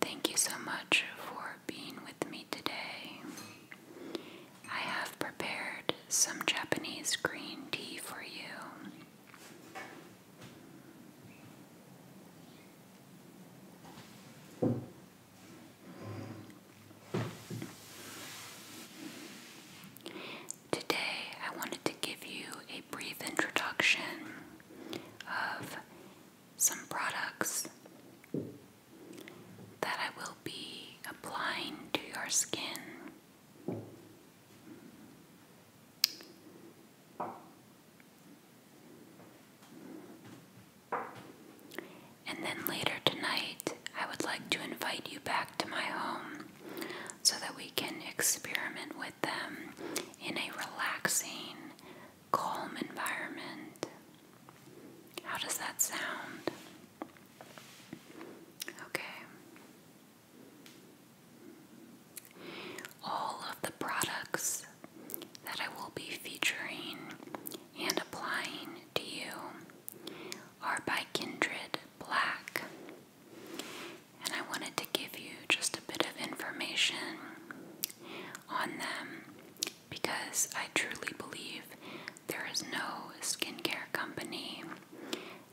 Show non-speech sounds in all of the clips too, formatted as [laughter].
Thank you so much for being with me today. I have prepared some Japanese green tea for you. Today, I wanted to give you a brief introduction of some products that I will be applying to your skin. And then later tonight, I would like to invite you back to my home so that we can experiment with them in a relaxing, calm environment. How does that sound? Okay. All of the products that I will be featuring and applying to you are by Kindred Black. And I wanted to give you just a bit of information on them because I truly believe there is no skincare company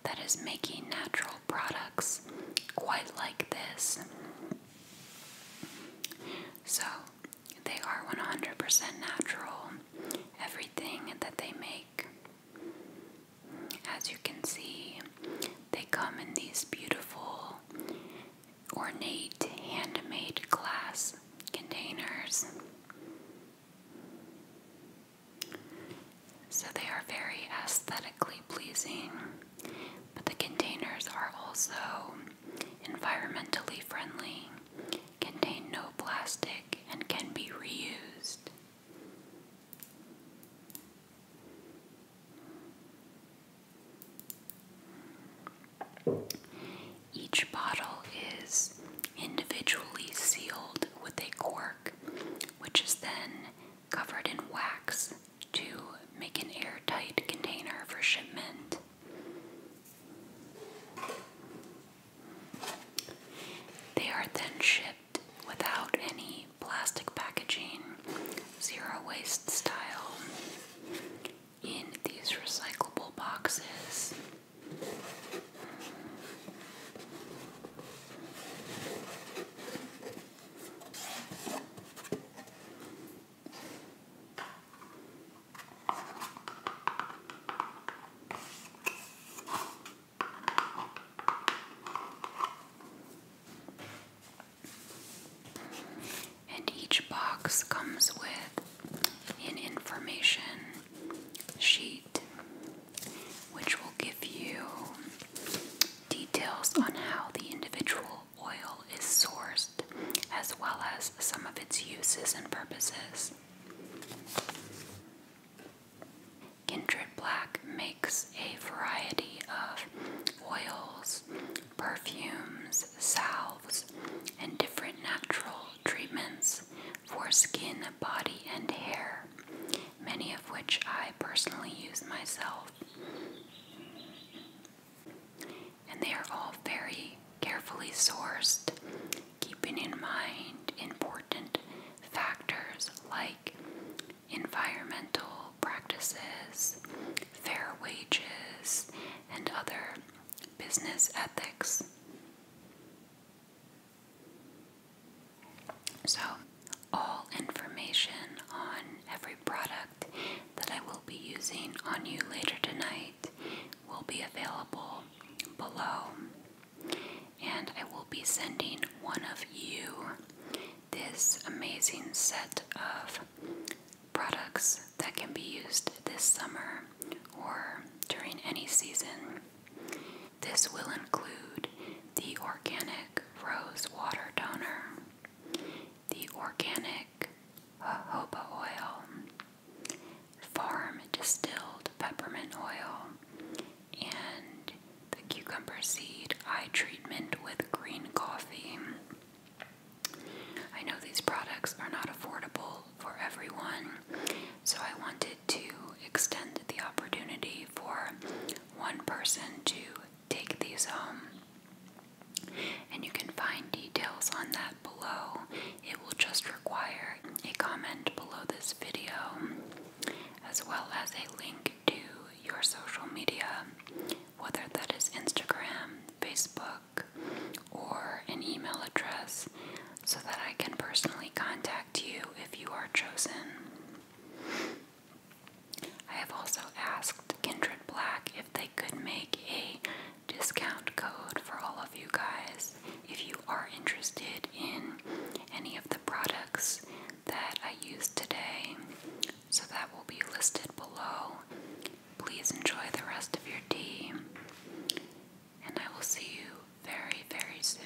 that is making natural products quite like this. So, they are 100% natural, everything that they make. As you can see, they come in these beautiful ornate handmade glass containers. So they are very aesthetically pleasing, but the containers are also environmentally friendly, contain no plastic, and can be reused. Each bottle is individually sealed with a cork, which is then covered in wax to make an airtight container for shipment. They are then shipped without any plastic packaging, zero waste style, in these recyclable boxes. And each box comes with an information sheet, which will give you details on how the individual oil is sourced, as well as some of its uses and purposes. Kindred Black makes a variety of oils perfumes, salves, and different natural treatments for skin, body, and hair, many of which I personally use myself. And they are all very carefully sourced, keeping in mind important factors like environmental practices, fair wages, and other business ethics. So, all information on every product that I will be using on you later tonight will be available below. And I will be sending one of you this amazing set of products that can be used this summer or during any season. This will include the organic rose water toner, the organic uh, jojoba oil, farm distilled peppermint oil, and the cucumber seed eye treatment with green coffee. I know these products are not affordable for everyone, so I wanted to extend the opportunity for one person to take these home. And you can find details on that below. It will just require a comment below this video, as well as a link to your social media, whether that is Instagram, Facebook, or an email address so that I can personally contact you if you are chosen. I have also asked Kindred Black if they could make a discount code for all of you guys if you are interested in any of the products that I use today so that will be listed below. Please enjoy the rest of your tea, and I will see you very, very soon.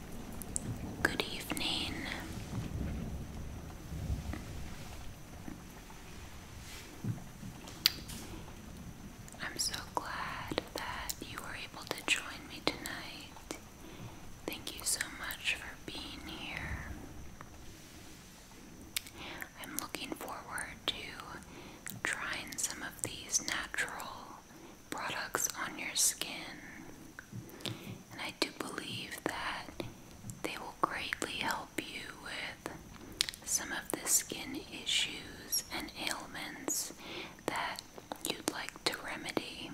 Good evening. I'm so glad that you were able to join me tonight. Thank you so much for being here. I'm looking forward to trying some of these natural products on your skin. And I do believe that they will greatly help you with some of the skin issues and ailments that you'd like to remedy.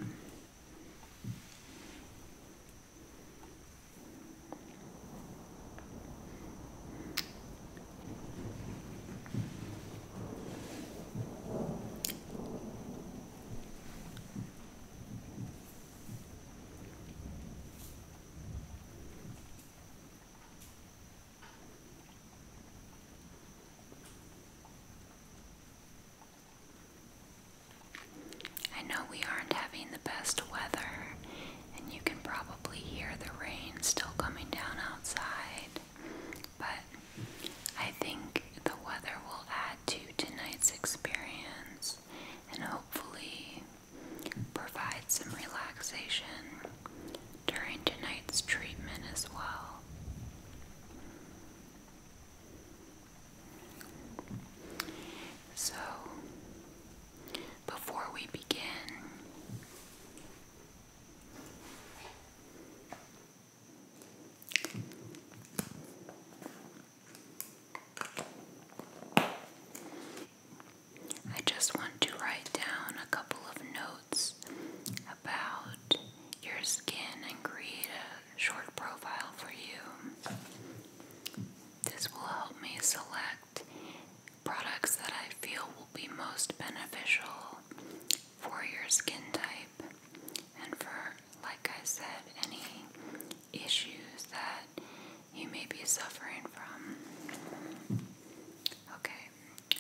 I know we aren't having the best weather, and you can probably hear the rain still coming down outside, but I think the weather will to tonight's experience and hopefully provide some relaxation during tonight's treatment as well. So, before we begin, I just want to write down a couple of notes about your skin and create a short profile for you. This will help me select products that I feel will be most beneficial for your skin type. And for, like I said, any issues that you may be suffering from. Okay,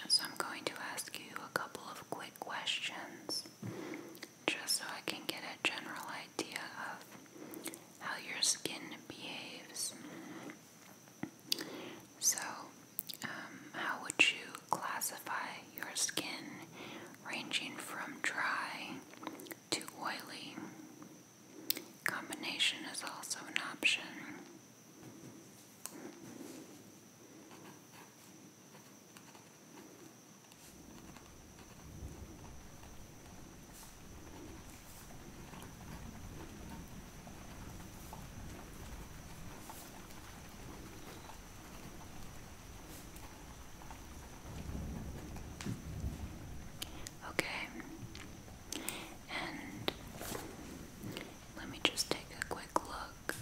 so I'm going to ask you a couple of quick questions just so I can get a general idea of how your skin behaves. So, um, how would you classify your skin, ranging from dry to oily. Combination is also an option. Okay, and let me just take a quick look.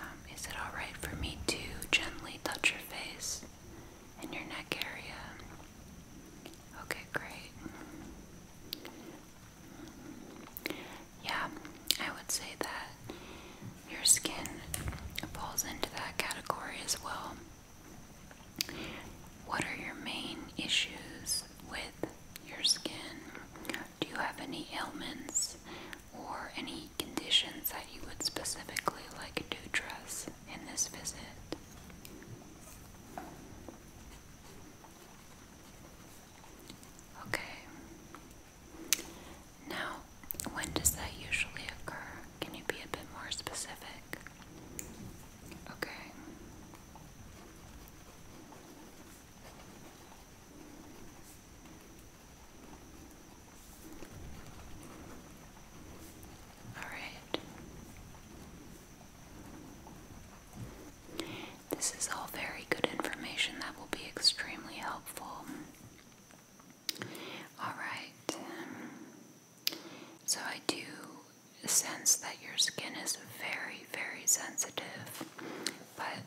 Um, is it alright for me to gently touch your face and your neck area? Okay, great yeah, I would say that your skin falls into that category as well. What are your main issues with your skin? Do you have any ailments or any conditions that you would specifically like to address in this visit? Okay. Now, when does that usually occur? Can you be a bit more specific? Okay. All right. This is all very good information that will be extremely helpful. Alright, so I do sense that your skin is very, very sensitive, but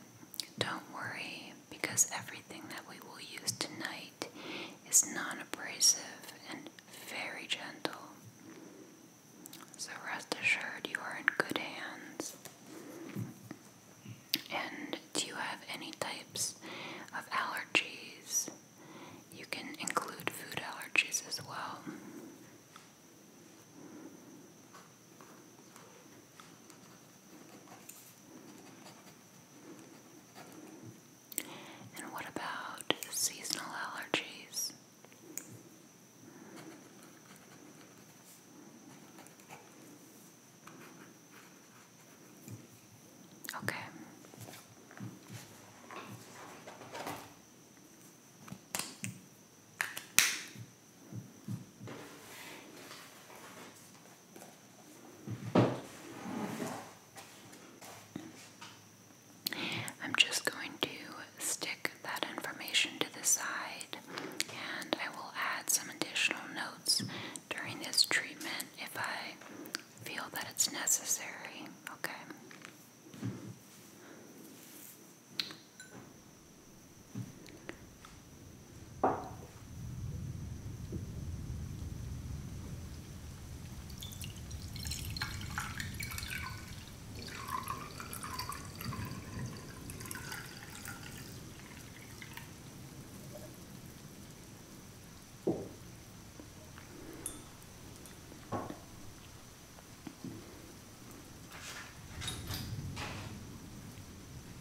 don't worry because everything that we will use tonight is non abrasive and very gentle. So rest assured you are in good hands. And do you have any types of allergies? You can include food allergies as well. And what about seasonal allergies? Okay. I'm just going to stick that information to the side and I will add some additional notes during this treatment if I feel that it's necessary. Okay.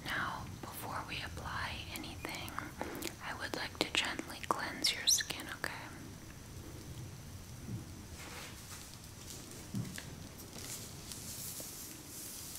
Now, before we apply anything, I would like to gently cleanse your skin, okay?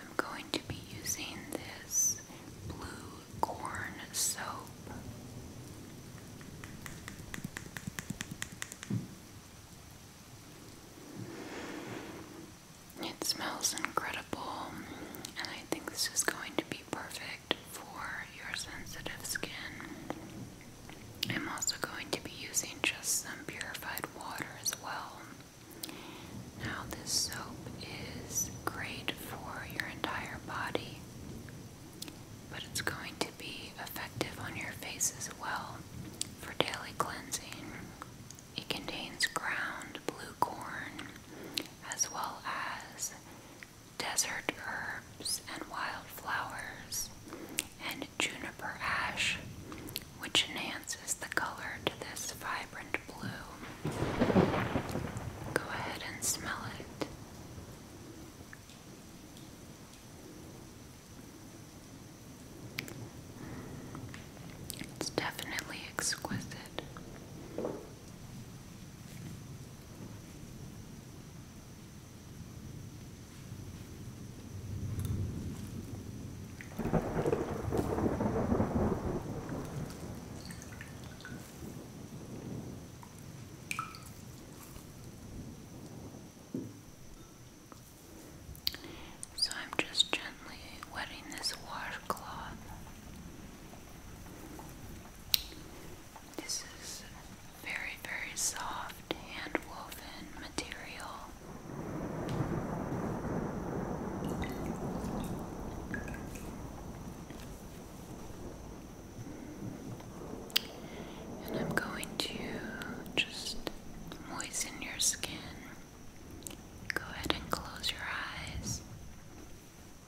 I'm going to be using this blue corn soap. It smells incredible and I think this is going to be perfect for your sensitive skin. I'm also going to be using just some purified water as well. Now, this soap is great for your entire body, but it's going to be effective on your face as well for daily cleansing. It contains ground blue corn, as well as desert herbs and wildflowers, and juniper ash, which enhances the color to this vibrant blue. Go ahead and smell it. It's definitely exquisite. So I'm just gently wetting this washcloth. This is very, very soft hand woven material. And I'm going to just moisten your skin. Go ahead and close your eyes.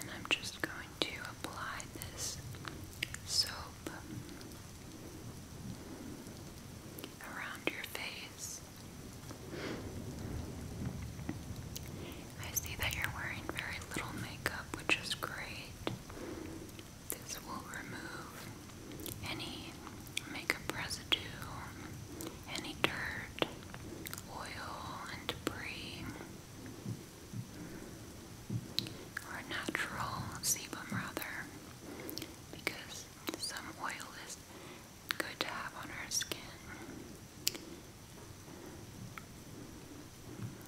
And I'm just going to apply this soap around your face. I see that you're wearing very little makeup, which is great. This will remove any makeup residue, any dirt, oil, and debris. Or natural sebum, rather, because some oil is good to have on our skin.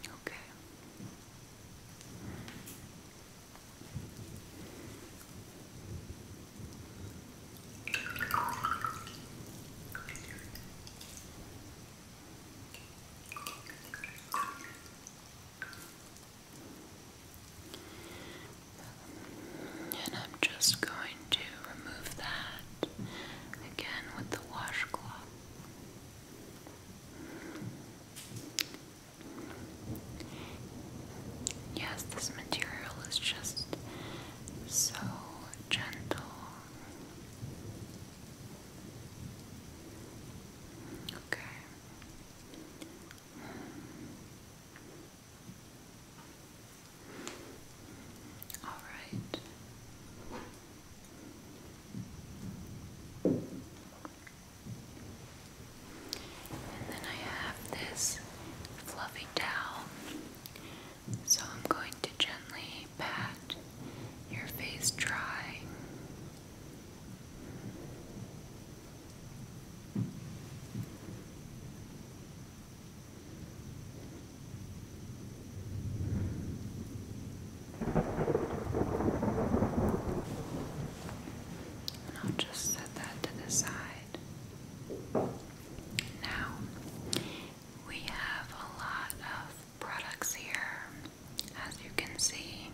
Okay. And I'm just going to remove that again with the washcloth. Yes, this material is just so gentle. Okay. All right. And then I have this fluffy towel. So I'm going to gently pat your face dry. And I'll just set that to the side. Now, we have a lot of products here, as you can see.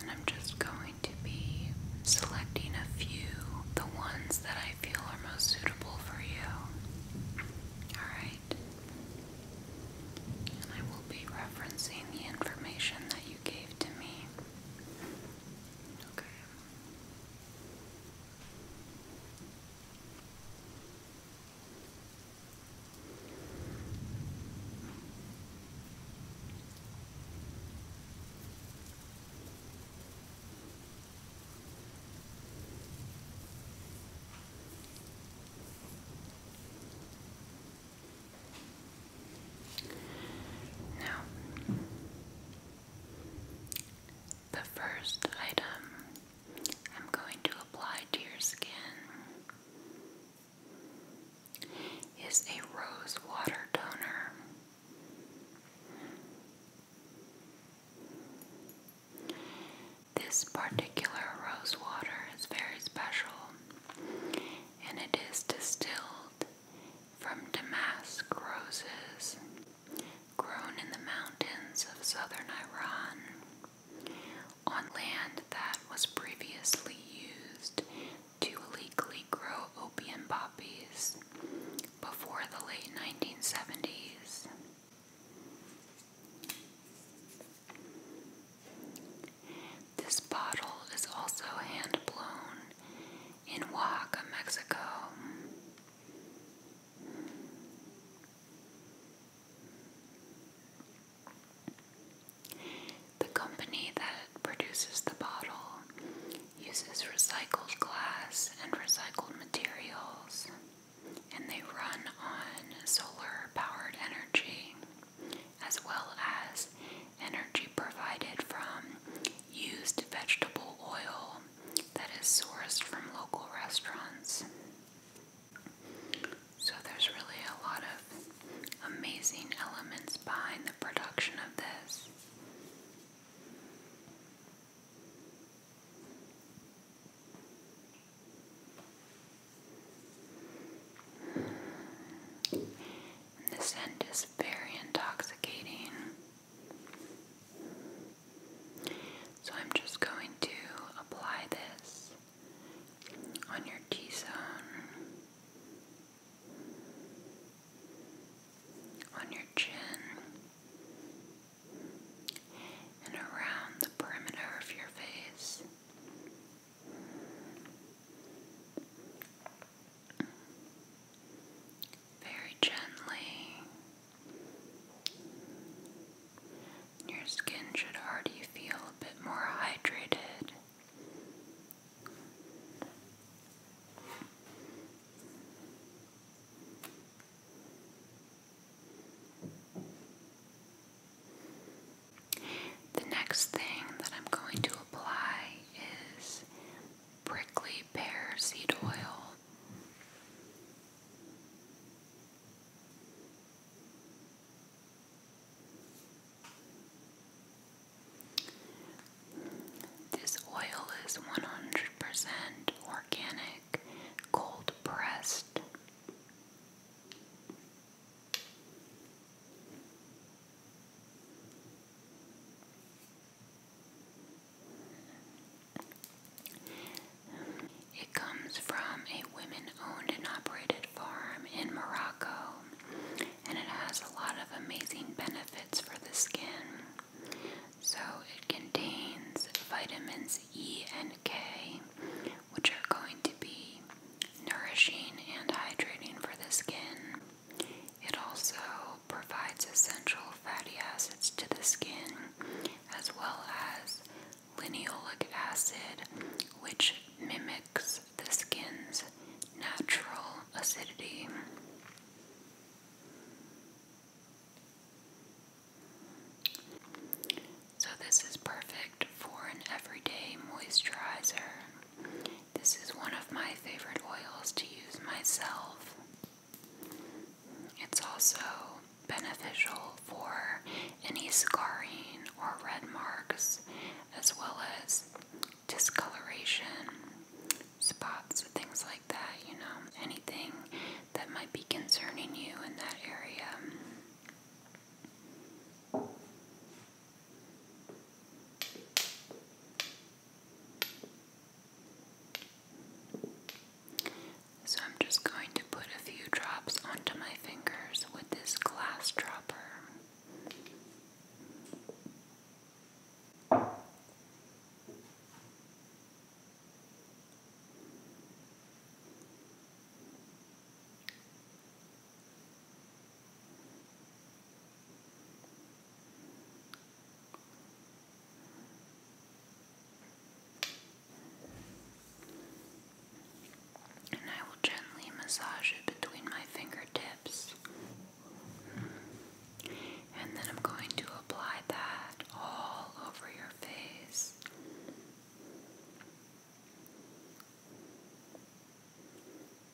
And I'm just going to be selecting a few, the ones that I feel are most suitable for you. Alright? And I will be referencing the information that you gave gave to me. Okay. Now, the first item I'm going to apply to your skin is a rose water toner. This particular rose water is very special and it is distilled from damask roses grown in the mountains of southern Iran on land that was previously used to illegally grow opium poppies before the late 1970s. This bottle is also hand blown in Oaxaca, Mexico. The company that produces the bottle uses recycled glass and recycled materials, and they run on solar powered energy as well as energy provided from used vegetable oil that is sourced from local restaurants. So, there's really a lot of amazing elements behind the production of this. This the scent is very intoxicating. So I'm just going to apply this on your T zone, on your chin, and around the perimeter of your face very gently. Your skin should already feel a bit more hydrated. The next thing that I'm going to apply is prickly pear seed oil. This oil is 100% organic, cold pressed. It comes from a women owned and operated farm in Morocco and it has a lot of amazing benefits for the skin. So it contains vitamins E and K, which are going to be nourishing and hydrating for the skin. It also provides essential fatty acids to the skin as well as linoleic acid, which mimics the skin's natural acidity. So, this is perfect for an everyday moisturizer. This is one of my favorite oils to use myself. It's also beneficial for any scarring or red marks, as well as discoloration, spots, things like that, you know, anything that might be concerning you in that area. So I'm just going to put a few drops onto my fingers with this glass dropper. And I will gently massage it between my fingertips. And then I'm going to apply that all over your face.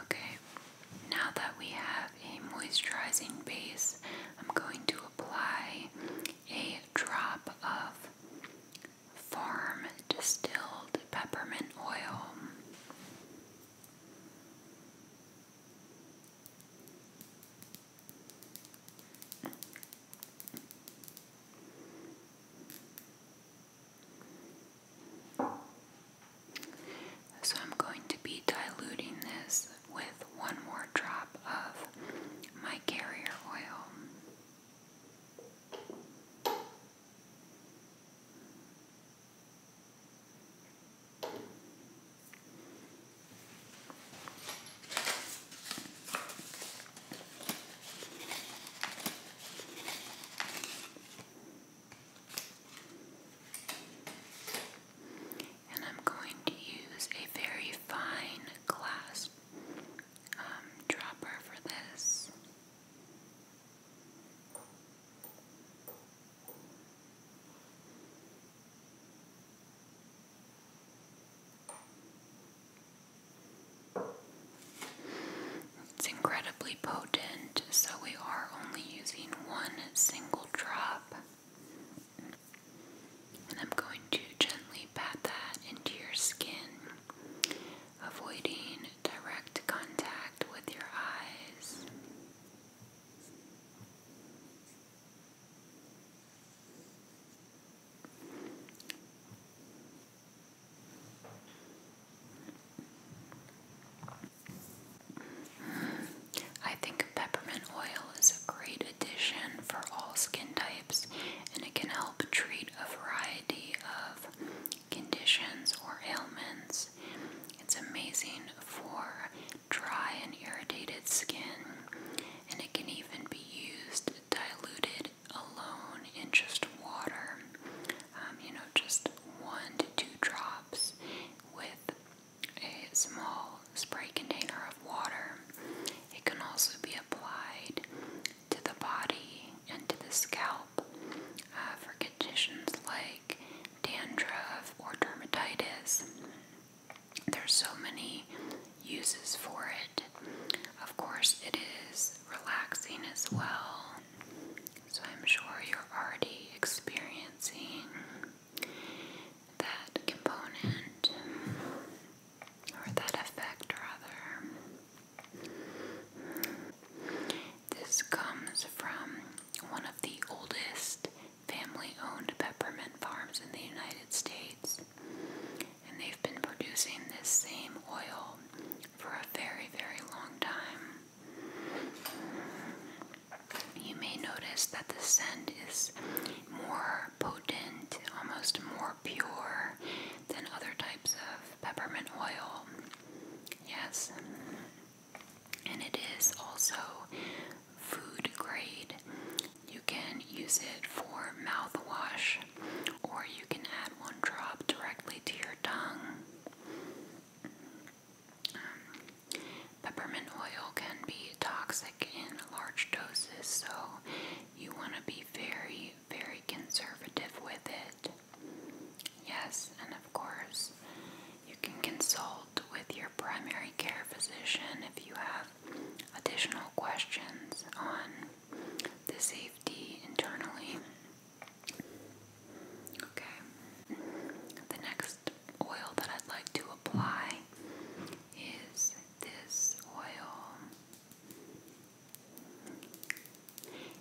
Okay, now that we have a moisturizing base, I'm going to apply a drop of farm distilled peppermint oil. So, I'm going to be diluting this with one more drop of my carrier oil. And I'm going to use a very fine glass um, dropper for this. It's incredibly potent, so we are only using one single drop. And I'm going to gently pat that into your skin avoiding direct contact with your eyes. I think peppermint oil is a great addition for all skin types and it can help treat a variety of conditions or ailments. It's amazing for dry and irritated skin, and it can even be used diluted alone in just water. Um, you know, just one to two drops with a small spray container of water. It can also be applied to the body and to the scalp uh, for conditions like dandruff or dermatitis. There's so many uses for it. Of course, it is relaxing as well. So I'm sure you're already experiencing that component or that effect rather. This comes from one of the oldest family owned peppermint farms in the United States, and they've been producing this same oil for a very, very long time. You may notice that the scent is more potent, almost more pure than other types of peppermint oil. Yes and it is also food grade. You can use it for mouthwash, or you can add one drop directly to your tongue. Um, peppermint oil can be toxic in large doses, so you want to be very, very conservative with it. Yes, and of course, you can consult with your primary care physician if you have additional questions on the safety internally. Okay, the next oil that I'd like to apply is this oil.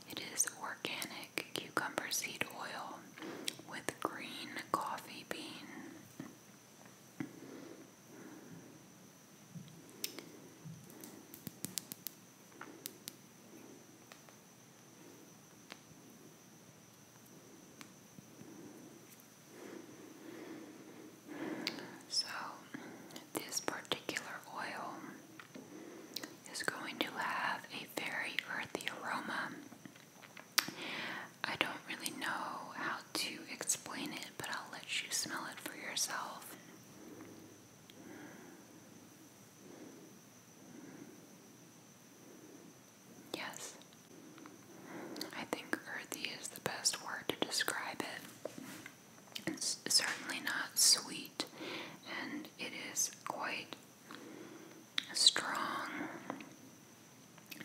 It is organic cucumber seed oil with green coffee bean. So, this particular oil is going to have a very earthy aroma. I don't really know how to explain it, but I'll let you smell it for yourself. Yes. I think earthy is the best word to describe it. It's certainly not sweet, and it is quite strong.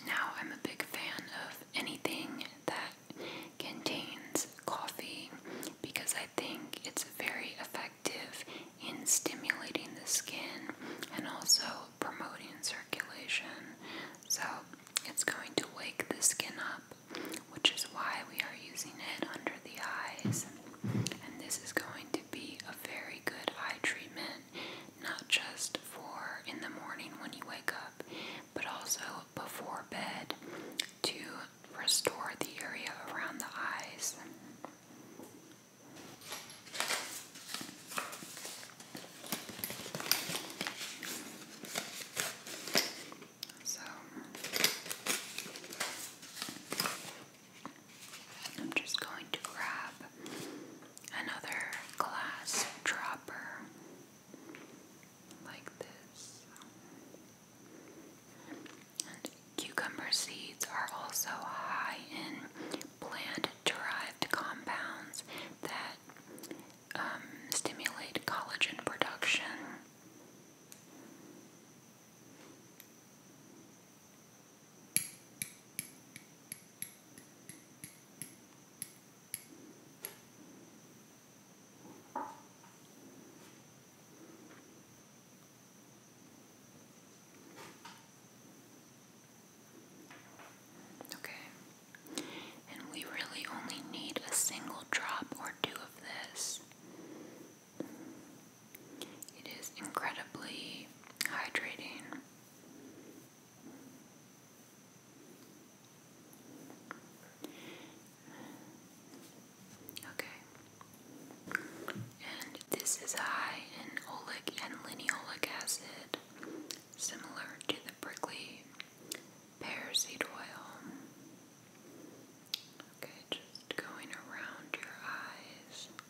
Now, I'm a big fan of anything that contains coffee because I think it's very effective in stimulating the skin and also promoting circulation. So, it's going to wake the skin up, which is why we are using it under the eyes. And this is going to be a very good eye treatment, not just for in the morning when you wake up, but also before bed to restore the area around the eyes. So I'm just going to grab another glass dropper like this. cucumber seeds are also high in plant derived compounds that um, stimulate collagen production. Okay. And we really only need a single drop or two of this. It is incredibly hydrating. Okay. And this is high in oleic and linoleic acid, similar to the prickly pear seed oil. Okay, just going around your eyes.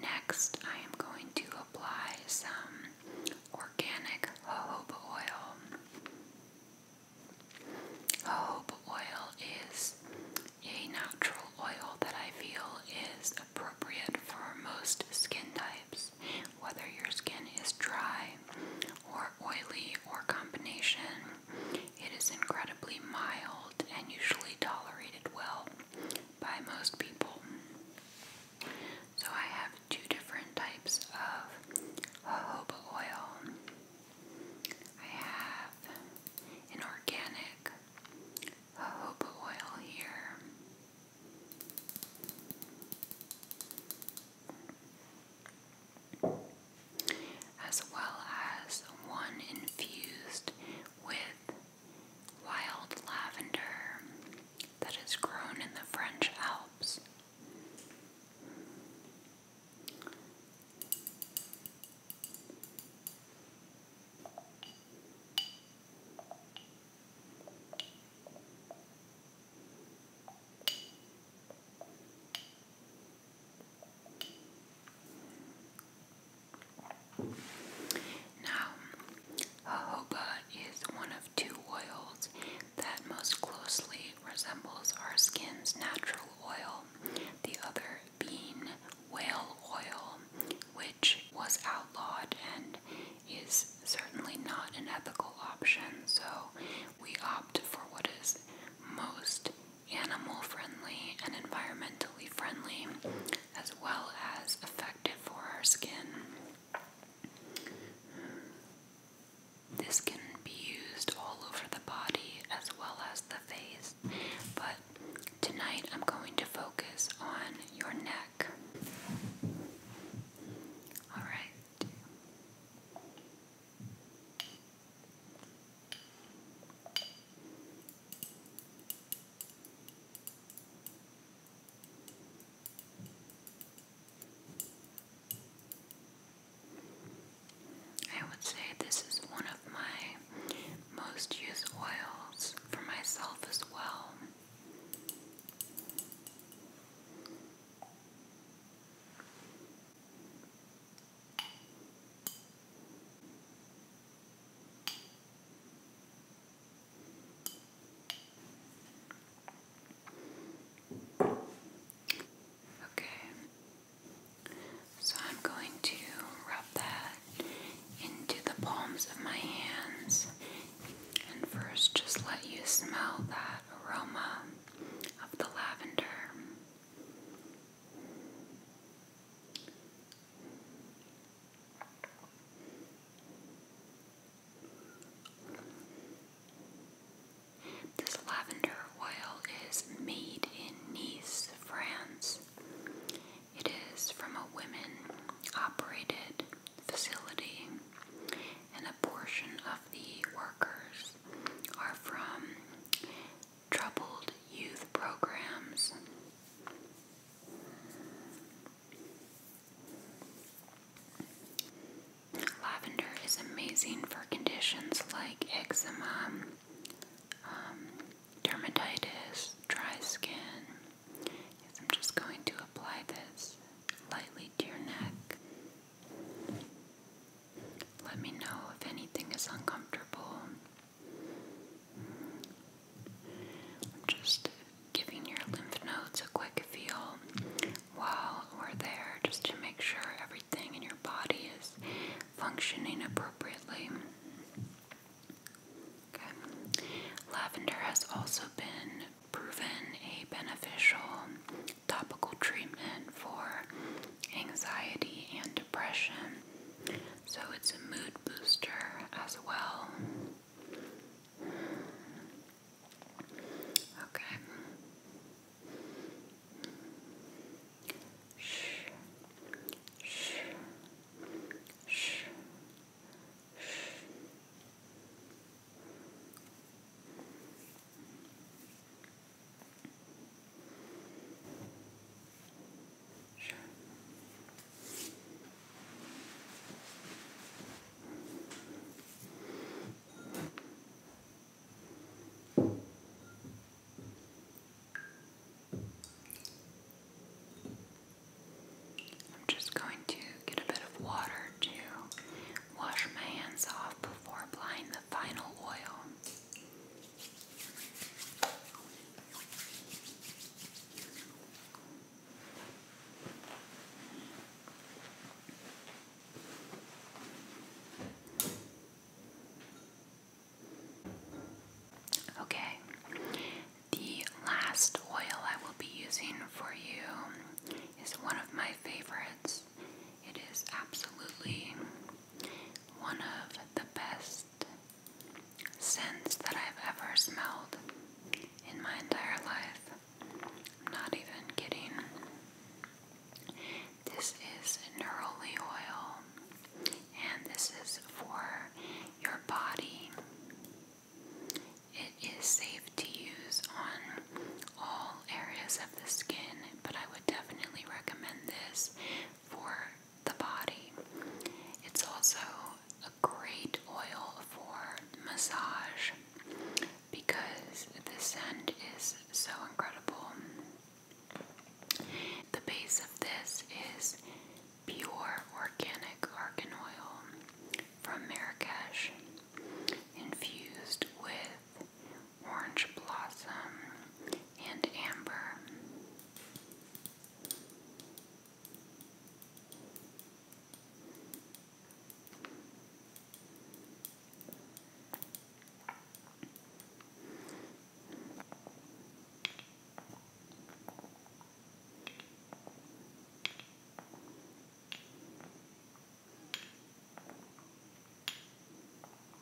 Next, I am going to apply some organic jojoba oil. Jojoba oil is a natural oil that I feel is appropriate for most skin types, whether your skin is dry or oily or combination. It is incredibly mild and usually tolerated well by most people. So I have two different types of jojoba oil. I have an organic jojoba oil here as well as one infused with wild lavender that is grown in the French Alps. Now, jojoba is one of two oils that most closely resembles our skin's natural oil, the other being whale oil, which was outlawed and is certainly not an ethical option, so we opt for what is most animal friendly and environmentally friendly, as well as effective for our skin. Hmm. This can be used all over the body as well as the face, but tonight I'm going to focus on your neck. Alright. I would say this is one of my most used oils for myself as well. Okay, so I'm going to rub that into the palms of my hands and first just let you smell that aroma of the lavender. This lavender oil is made in Nice, France. It is from a women operated facility, and a portion of the workers are from troubled youth programs. Lavender is amazing for conditions like eczema, um, dermatitis, dry skin. I'm just going to apply this lightly to your neck. Let me know if anything is uncomfortable. I'm just giving your lymph nodes a quick feel while we're there just to make sure everything in your body is functioning appropriately. Lavender has also been proven a beneficial topical treatment for anxiety and depression. So it's a mood booster as well. Okay. Shh. Shh. Shh. Shh. I'm just going to get a bit of water to wash my hands off before applying the final oil. Okay, the last oil I will be using for you is one of my favorites. It is absolutely one of the best best that I've ever smelled in my entire life. not even kidding. This is neroli oil, and this is for your body. It is safe to use on all areas of the skin, but I would definitely recommend this for the body. It's also a great oil for massage because the scent is so incredible. The base of this is pure organic argan oil from Marrakesh, infused with orange blossom and amber.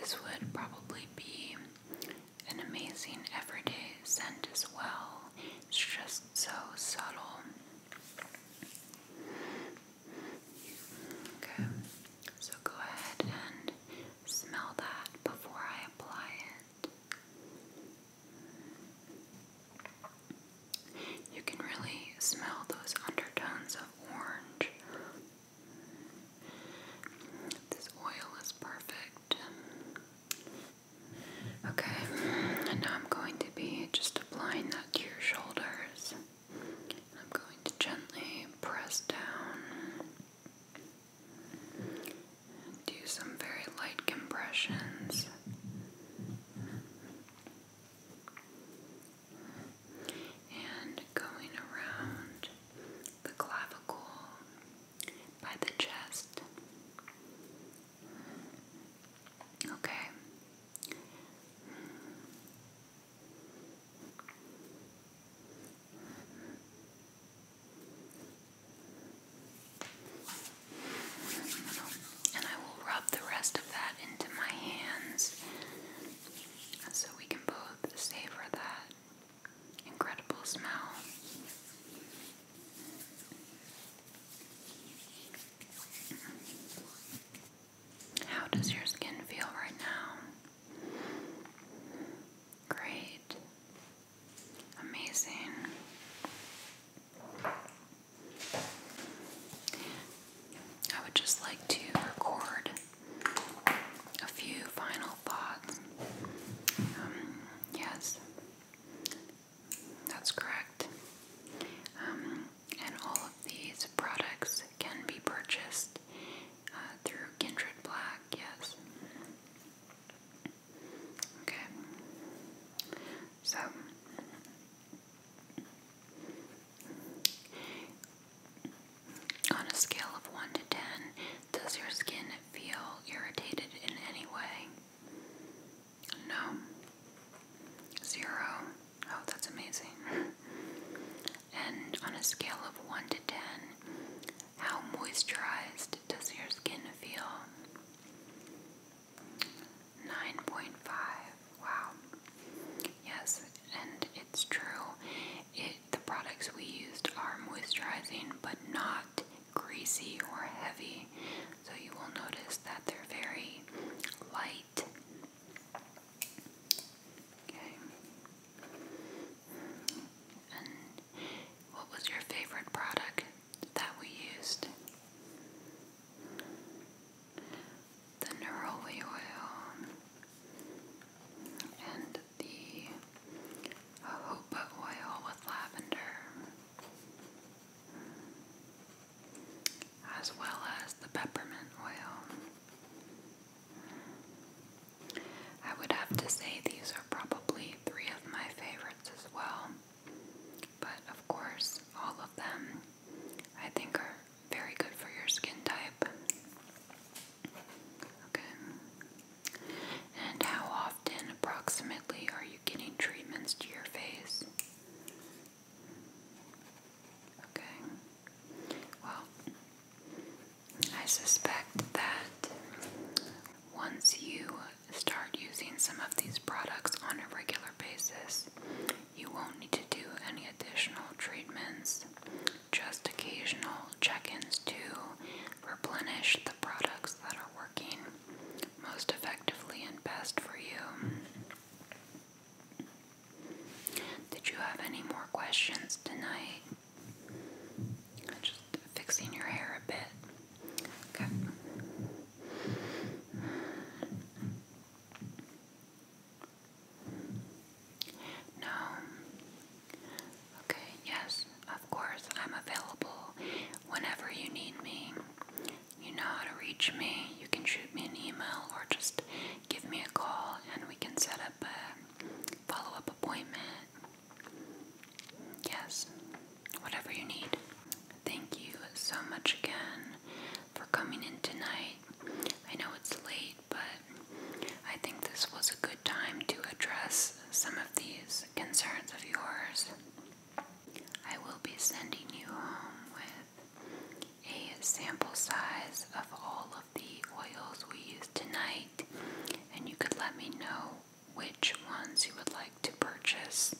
This would probably be an amazing everyday scent as well. It's just so subtle. Okay, so go ahead and smell that before I apply it. You can really smell those undertones of orange. This oil is perfect. Okay, and now I'm going to be just applying that to your shoulders. I'm going to gently press down. Do some very light compressions and going around the clavicle by the chest. Okay. And I will rub the rest of that into my hands so we can both savor that incredible smell. How does your skin feel right now? Great. Amazing. I would just like to record a few final thoughts. Um, yes, that's correct. Um, and all of these products can be purchased uh, through Kindred Black, yes. Okay, so on a scale of 1 to 10, does your skin feel irritated in any way? No. Zero. Oh, that's amazing. [laughs] and on a scale of 1 to 10, how moisturized does your skin feel? 9.5. Wow. Yes, and it's true. It, the products we used are moisturizing but not greasy or heavy, so you will notice that they're very light. Okay. And what was your favorite product that we used? the neroli oil and the jojoba oil with lavender, as well as the peppermint oil. I would have to say these are probably three of my favorites as well, but of course, all of them I think are very good for your skin type. Okay. And how often, approximately, are you getting treatments to your face? Okay. Well, I suspect that once you start using some of these products on a regular basis, you won't need to do any additional treatments, just occasional check ins to replenish the products that are working most effectively and best for you. Did you have any more questions tonight? Just fixing your hair a bit. Okay. No. Okay, yes, of course, I'm available whenever you need me. You know how to reach me. You can shoot me an email or just give me a call and we can set up a follow up appointment. Yes, whatever you need. Thank you so much again for coming in tonight. I know it's late, but I think this was a good time to address some of these concerns of yours. I will be sending you home with a sample size of all of the oils we used tonight, and you could let me know which ones you would like to purchase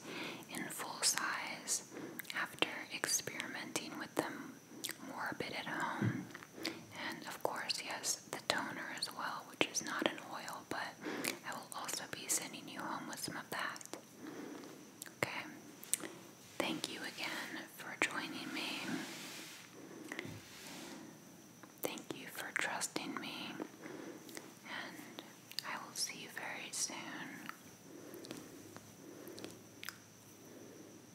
in full size after experimenting with them morbid at home. And of course, yes, the toner as well, which is not an oil, but I will also be sending you home with some of that. Okay. Thank you again for joining me. Thank you for trusting me. And I will see you very soon.